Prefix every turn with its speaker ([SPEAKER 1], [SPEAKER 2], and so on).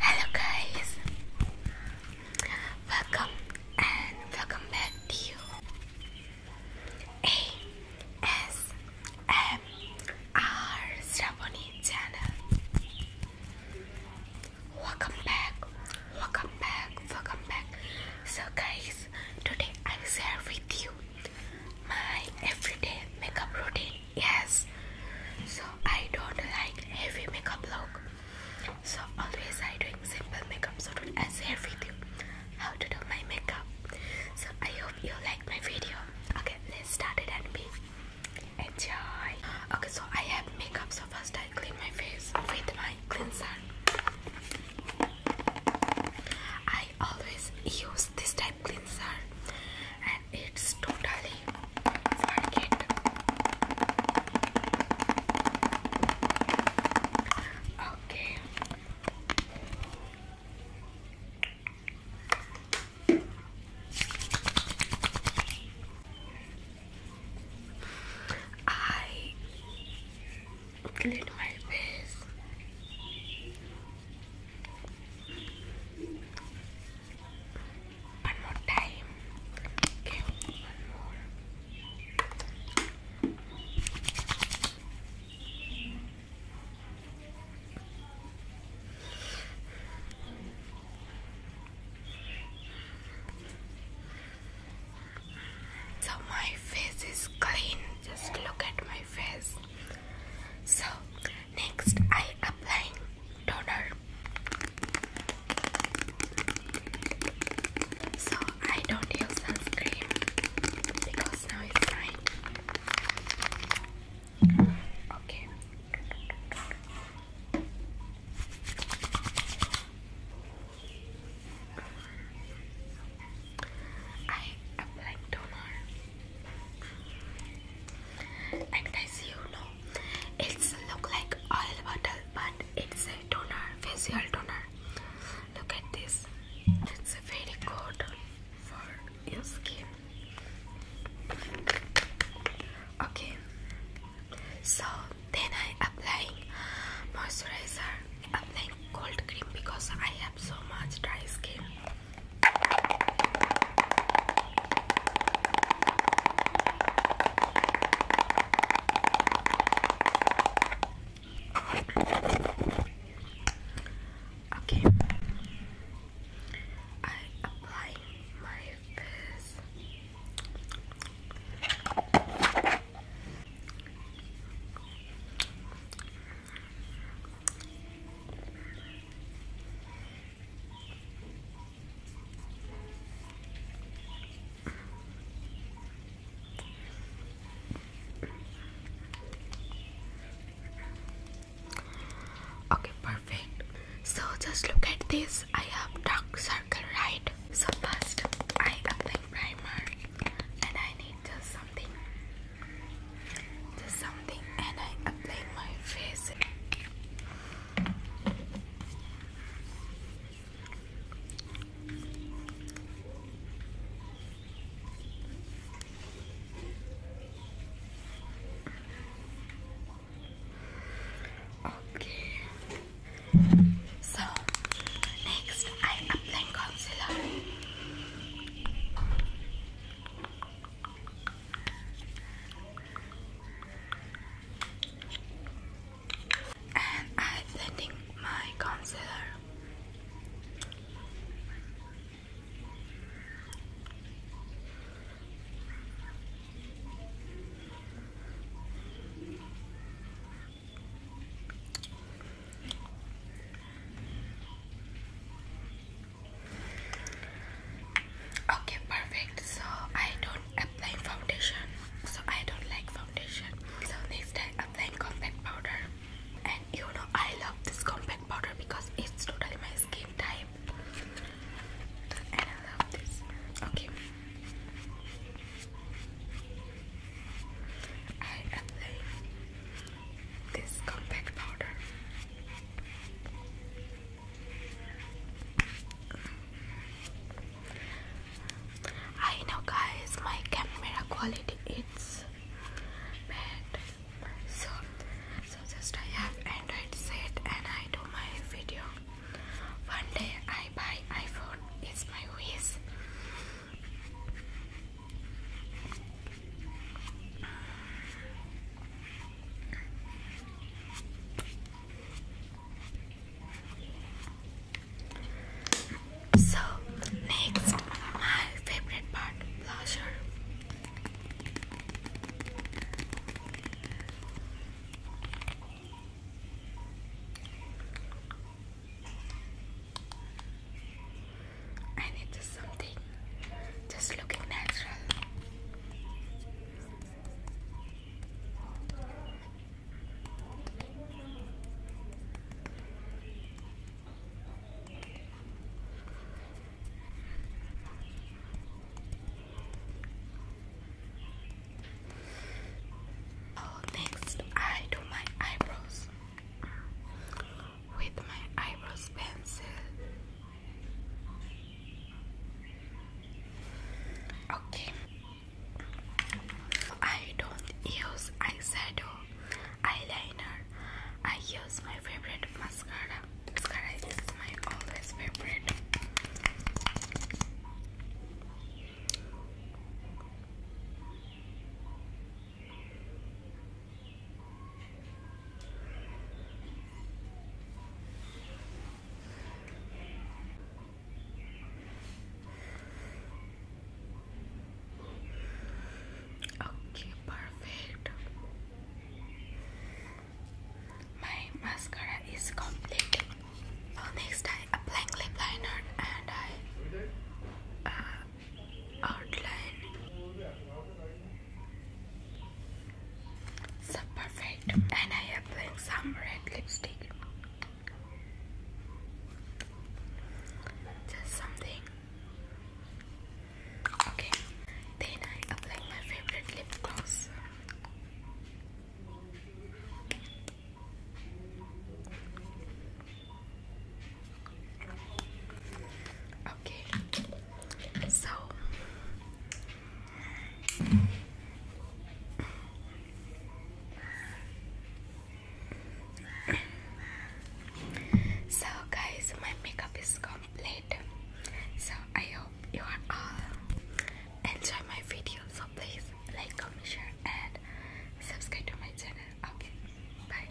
[SPEAKER 1] Hello guys, welcome and welcome back to you. A S M R Sravani channel. Welcome back, welcome back, welcome back. So guys, today I share with you my everyday makeup routine yes so i don't like heavy makeup look so always i do simple makeup so don't as hair how to do my makeup so i hope you like my video okay let's start it and be enjoy okay so i have makeup so first i clean my face with my cleanser i always use this type cleanser it's totally worth Okay. I clean my face. One more time. Okay, one more. So my face is clean. Just look at my face. So Next, I applying toner. So I don't use sunscreen because now it's fine. Okay. I apply toner. And guys, you know it's look like oil bottle, but it's a toner, facial toner. Look at this. It's very good for your skin. Okay. So then I applying moisturizer, applying cold cream because I have so much dry skin. Okay, I apply my face. Okay, perfect. So just look at this. I have dark circle, right? So first I apply primer and I need just something. Just something and I my face. Okay. So next, I apply concealer and I'm setting my concealer. Okay, perfect. So I don't apply foundation. So I don't like foundation. So next I apply compact powder. And you know I love this compact powder because it's totally my skin type. And I love this. Okay. I apply this compact powder. I know guys my camera quality it's bad so so just I have Android set and I do my video one day I buy iPhone it's my wish so next my favorite part blusher I need something just looking natural. Oh, next, I do my eyebrows with my eyebrows pencil. Okay. I don't use eyeshadow, eyeliner. I use my favorite mascara. Mascara is my always favorite. Okay, perfect. My mascara is complete. Oh, next, I apply lip liner and I uh, outline so perfect. And I am putting some red lipstick. Just something. Okay. Then I apply my favorite lip gloss. Okay. So so guys my makeup is complete so I hope you are all enjoy my video so please like comment share and subscribe to my channel okay bye